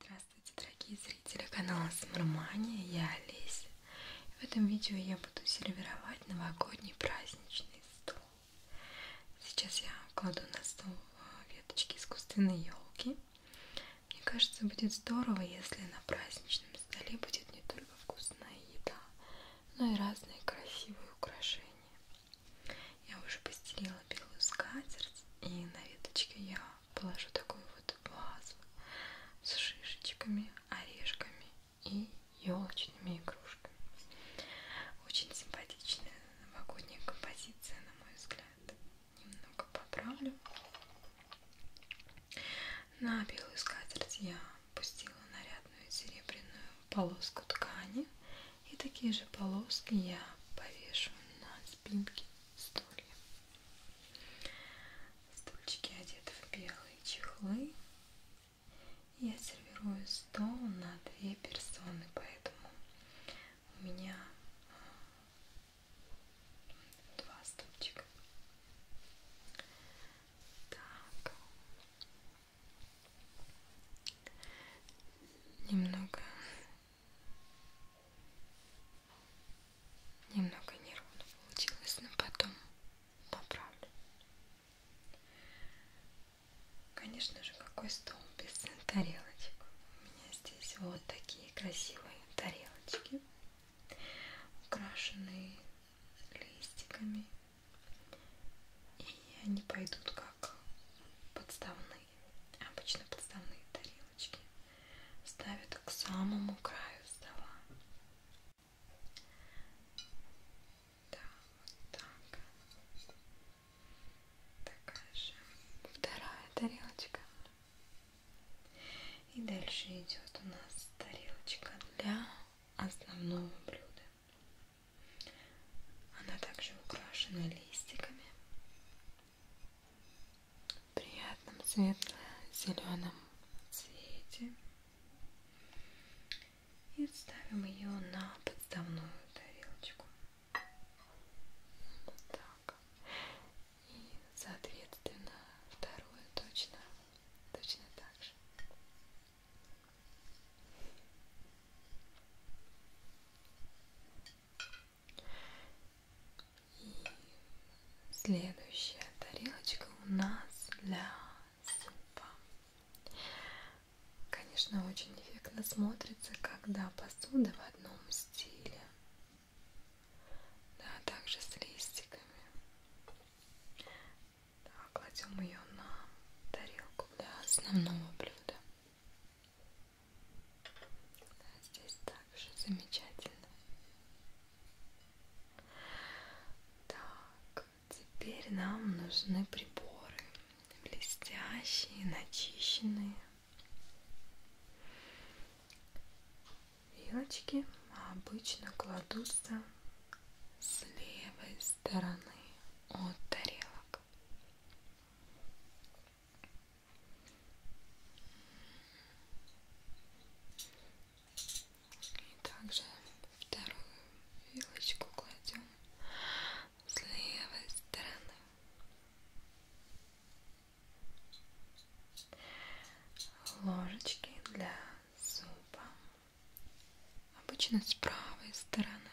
Здравствуйте, дорогие зрители канала Смармания, я Олеся. В этом видео я буду сервировать новогодний праздничный стол. Сейчас я кладу на стол э, веточки искусственной елки. Мне кажется, будет здорово, если на праздничном столе будет не только вкусная еда, но и разные красивые украшения. Я уже постелила белую скатерть, и на веточке я положу такую вот вазу с шишечками, орешками и елочными игрушками. Очень симпатичная новогодняя композиция, на мой взгляд. Немного поправлю. На белую скатерть я пустила нарядную серебряную полоску ткани. И такие же полоски я повешу на спинке стулья. Стульчики одеты в белые чехлы. Я сервирую стол на две персоны, поэтому у меня э, два стульчика. Так. Немного немного неровно получилось, но потом поправлю. Конечно же, какой стол без тарелочек. У меня здесь вот такие красивые тарелочки, украшенные листиками. И они пойдут как подставные, обычно подставные тарелочки. Ставят к самому краю стола. Да, вот так такая же вторая тарелочка и дальше идет у нас тарелочка для основного блюда она также украшена листиками в приятном светло-зеленом цвете и ставим ее на подставную тарелочку. Вот так. И, соответственно, вторую точно, точно так же. И следующая тарелочка у нас для супа. Конечно, очень эффектно смотрится, когда посуда в одном стиле. Да, также с листиками. Да, кладем ее на тарелку для основного блюда. Да, здесь также замечательно. Так, Теперь нам нужны приборы, блестящие, начищенные. Вилочки обычно кладутся с левой стороны от тарелок. И также вторую вилочку кладем с левой стороны. Ложечки для супа. Обычно с правой стороны.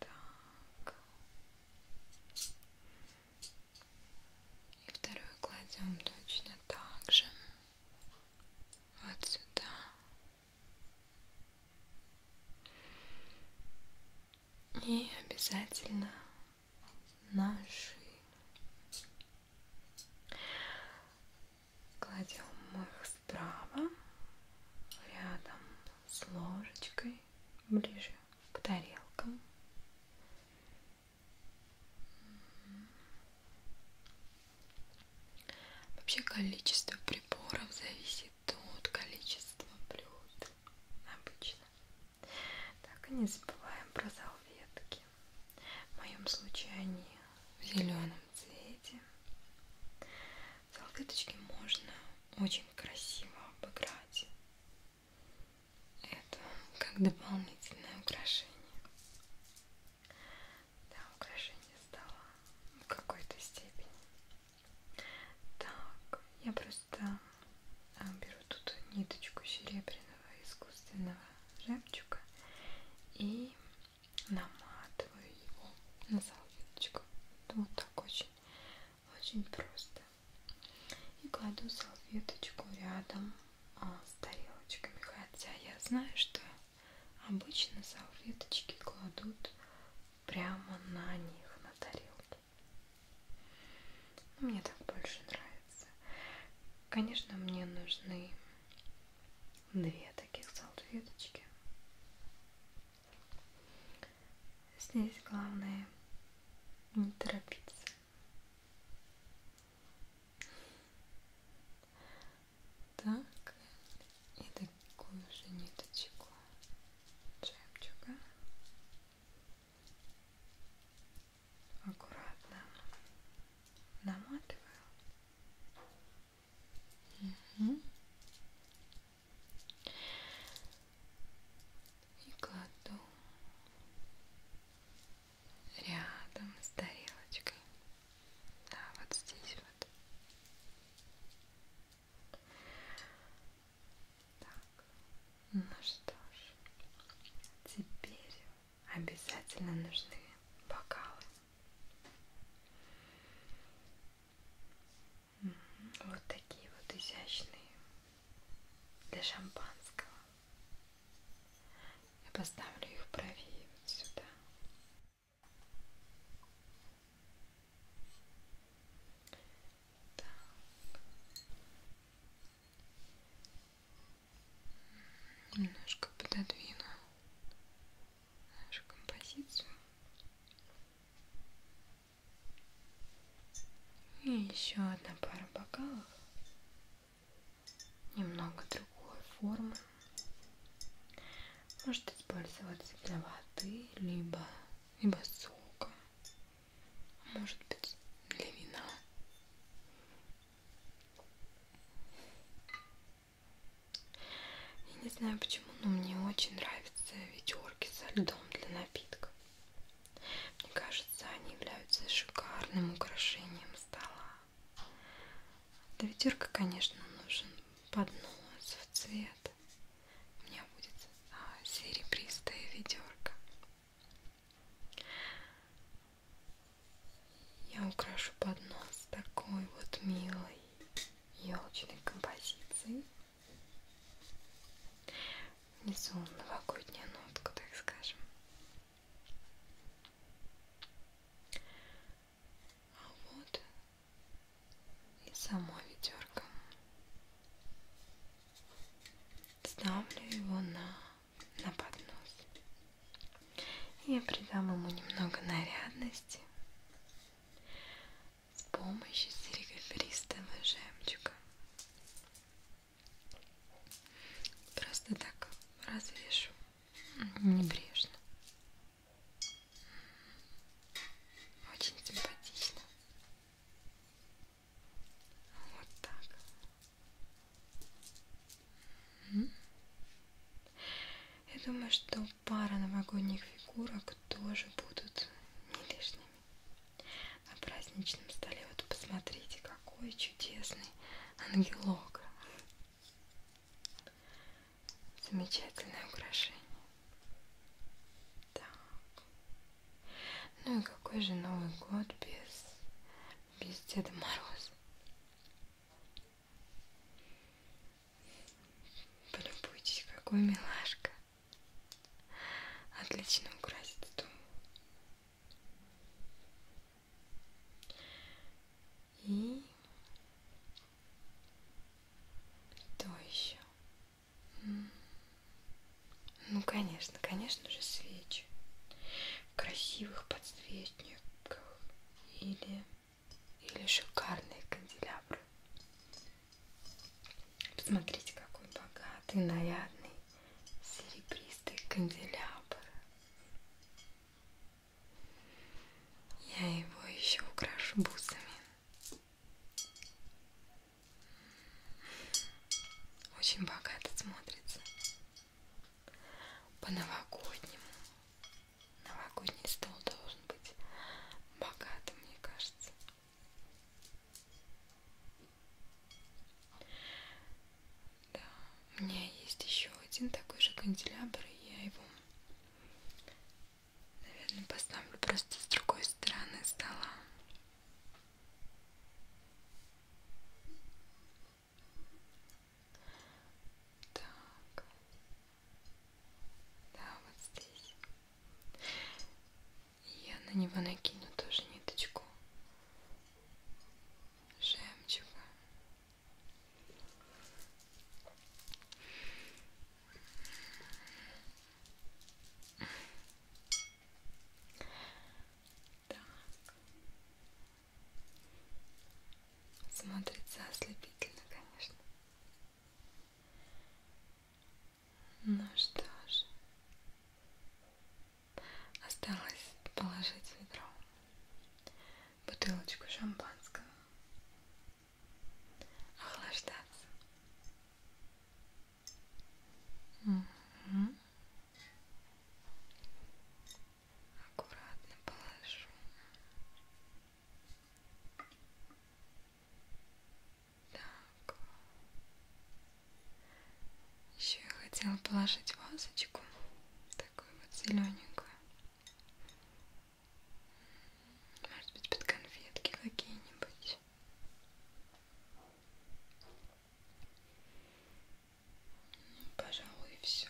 Так. И вторую кладем точно так же вот сюда и обязательно на шею кладем их справа рядом с ложечкой ближе к тарелкам Вообще количество приборов зависит от количества блюд обычно. Так и не забываем про салфетки. В моем случае они в зеленом цвете. Салфеточки можно очень красиво обыграть. Это как дополнительное украшение да, украшение стола в какой-то степени. Так, я просто а, беру тут ниточку серебряного искусственного жемчуга и наматываю его на салфеточку. Вот так очень, очень просто. И кладу салфеточку рядом а, с тарелочками. Хотя я знаю, что обычно салфеточки кладут прямо на них, на тарелки. Но ну, мне так больше нравится. Конечно, мне нужны две таких салфеточки. Здесь главное не торопиться. Так, и такую же ниточку жемчуга. Аккуратно наматываю. Угу. И кладу рядом с тарелочкой. Да, вот здесь вот. Так, ну что ж, теперь обязательно нужны бокалы. Вот такие вот изящные для шампанского. Я поставлю их правее вот сюда. Так. Немножко пододвину нашу композицию. И еще одна пара бокалов немного другой формы. Может использоваться для воды, либо, либо сока, может быть для вина. Я не знаю почему, но мне очень нравятся ведерки со льдом для напитка. Мне кажется, кажется, они являются шикарным украшением стола. Для ветерка, конечно, нужен поднос в цвет. У меня будет а, серебристая ведерко. Я украшу поднос такой вот милой елочной композицией. Внизу новогодняя нотка, так скажем. А вот и само ведерко. Ставлю его на, на поднос. Я придам ему немного нарядности с помощью серебристого жемчуга. Просто так развешу небрежно. Очень симпатично. Вот так. Я думаю, что пара новогодних фигурок тоже будут не лишними на праздничном столе. Вот посмотрите, какой чудесный ангелок. Замечательное украшение. Так. Ну и какой же Новый год без, без Деда Мороза? Полюбуйтесь, какой милашка. Отлично украсит стул. И что еще? Ну, конечно, конечно же, свечи. В красивых подсвечниках или, или шикарные канделябры. Посмотрите, какой богатый, нарядный серебристый канделябр. Я его еще украшу бусами. Очень богато смотрится. По-новогоднему. Новогодний стол должен быть богатым, мне кажется. Да, у меня есть еще один такой же канделябр, и я его, наверное, поставлю просто с другой стороны стола. Так, да, вот здесь. Я на него накину тоже ниточку жемчуга. Так. Смотрится ослепительно, конечно. Ну что ж, Осталось положить в ведро бутылочку шампанского, охлаждаться. Угу. Аккуратно положу. Так. Так. Еще я хотела положить вазочку. Такую вот зелененькую. Может быть под конфетки какие-нибудь. Ну, пожалуй, все.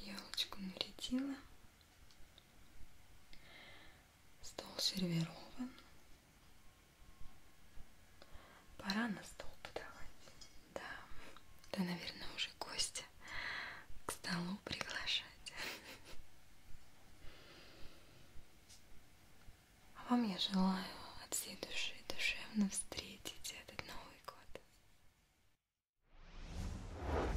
Елочку нарядила. Стол сервирован. Пора на стол подавать. Да, да, наверное, уже гостя к столу приглашать. А вам я желаю от всей души душевно встретить этот Новый год.